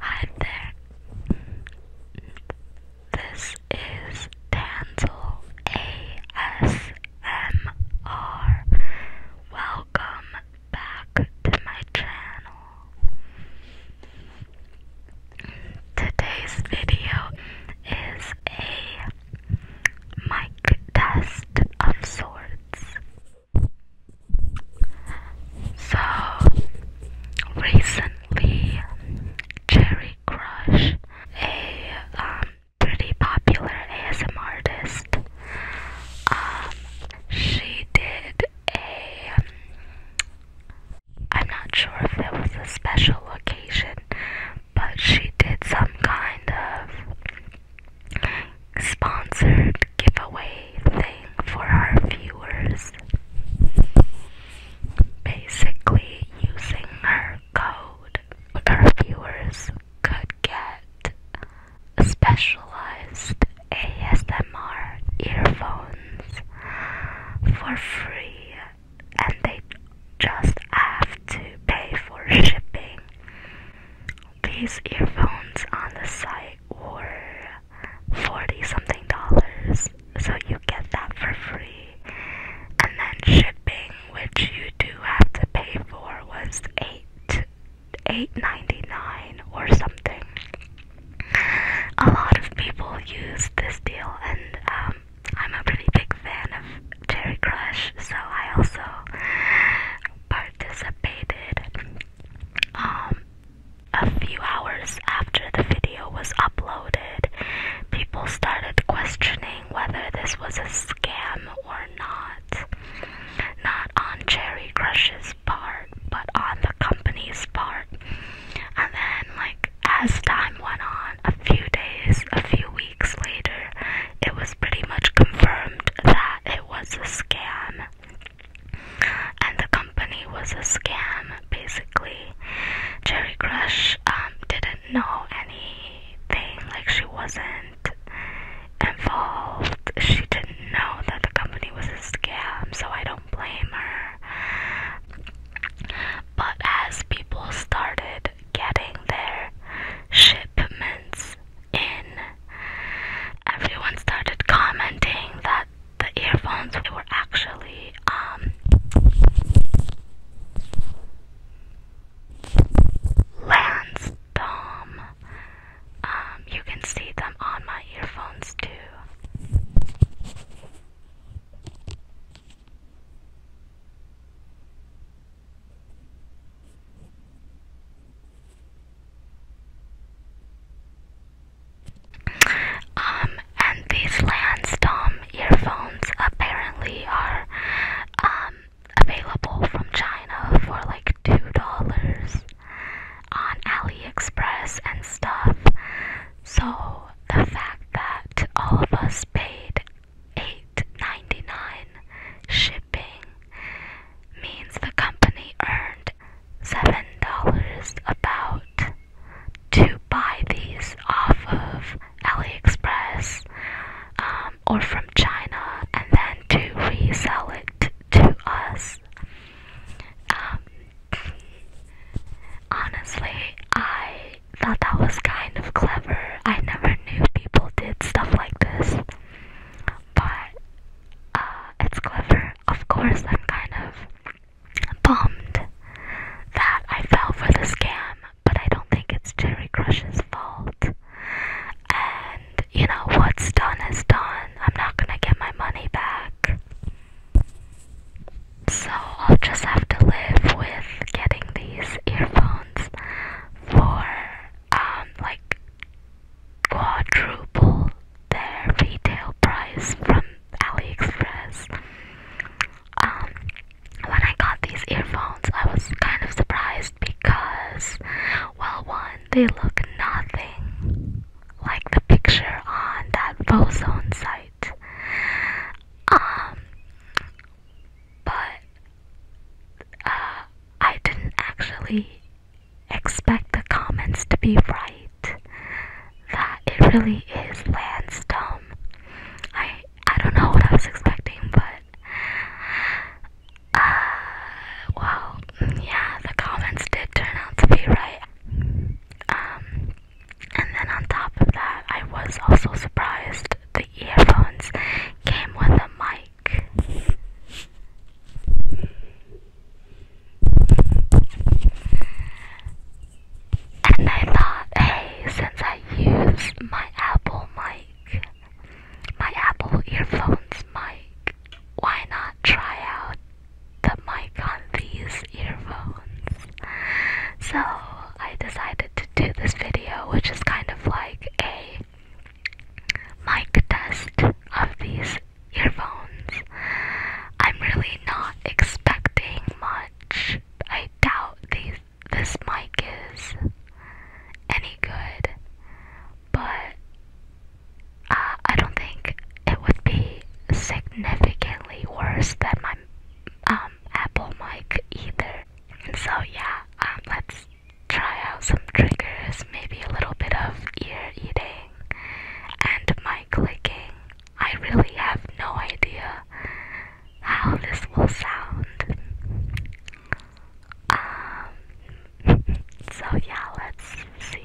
Hi there. This is Tanzel ASMR. Welcome back to my channel. Today's video is a mic test of sorts. So, recently, Cherry Crush, a um, pretty popular ASMR artist, um, she did I'm not sure if it was a special occasion, but she did some kind of sponsored giveaway thing for our viewers. Basically, using her code, our viewers could get specialized ASMR earphones for free and they just have to pay for shipping. These earphones on the site were 40 something dollars, so you get that for free. And then shipping, which you do have to pay for, was 8 Eight ninety nine or something. A lot of people used this deal, and um, I'm a pretty big fan of Cherry Crush, so I also participated. Um, a few hours after the video was uploaded, people started questioning whether this was a scam or not. Not on Cherry Crush's his part, but on the company's part. And then, like, as time went on, a few days, a few weeks later, it was pretty much confirmed that it was a scam. And the company was a scam, basically. Cherry Crush um, didn't know anything, like, she wasn't involved. She didn't know that the company was a scam, so I don't blame her. But as people started getting their shipments in, everyone started commenting that the earphones were actually um Lansdom um, you can see them on my earphones too. Um, and these Lansdom earphones apparently are um available from China for like two dollars on AliExpress and stuff. So the fact that all of us paid $8.99 shipping means the company earned $7 about to buy these off of AliExpress um, or from China and then to resell it to us. Um, honestly, I thought that was kind of clever. I never knew people did stuff like this, but uh, it's clever. Of course, I'm kind of bummed that I fell for the scam, but I don't think it's Cherry Crush's fault and you know, what's done is done. I'm not gonna get my money back. So I'll just have to live with getting these earphones for um like quadruple their retail price from AliExpress. Um when I got these earphones I was kind of surprised because well one they look nothing like the picture on that Bozone site. Um, but uh, I didn't actually expect the comments to be right. That it really is Lansdome. I I don't know what I was expecting, but uh, well, yeah, the comments did turn out to be right. Um, and then on top of that, I was also surprised the earphones came with a mic. And I thought, hey, since I use my Apple mic, my Apple earphones mic. Why not try out the mic on these earphones? So I decided to do this video, which is kind of like a mic test of these earphones. I'm really not expecting much. I doubt this mic is any good, but uh, I don't think it would be significantly worse than my um, Apple mic either. so yeah, um, let's try out some triggers, maybe a little bit of ear eating and mic clicking. I really have no idea how this will sound. Um, so yeah, let's see.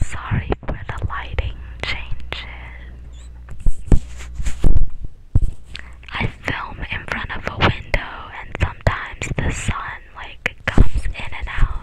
Sorry for the lighting changes. I film in front of a window, and sometimes the sun sun like comes in and out.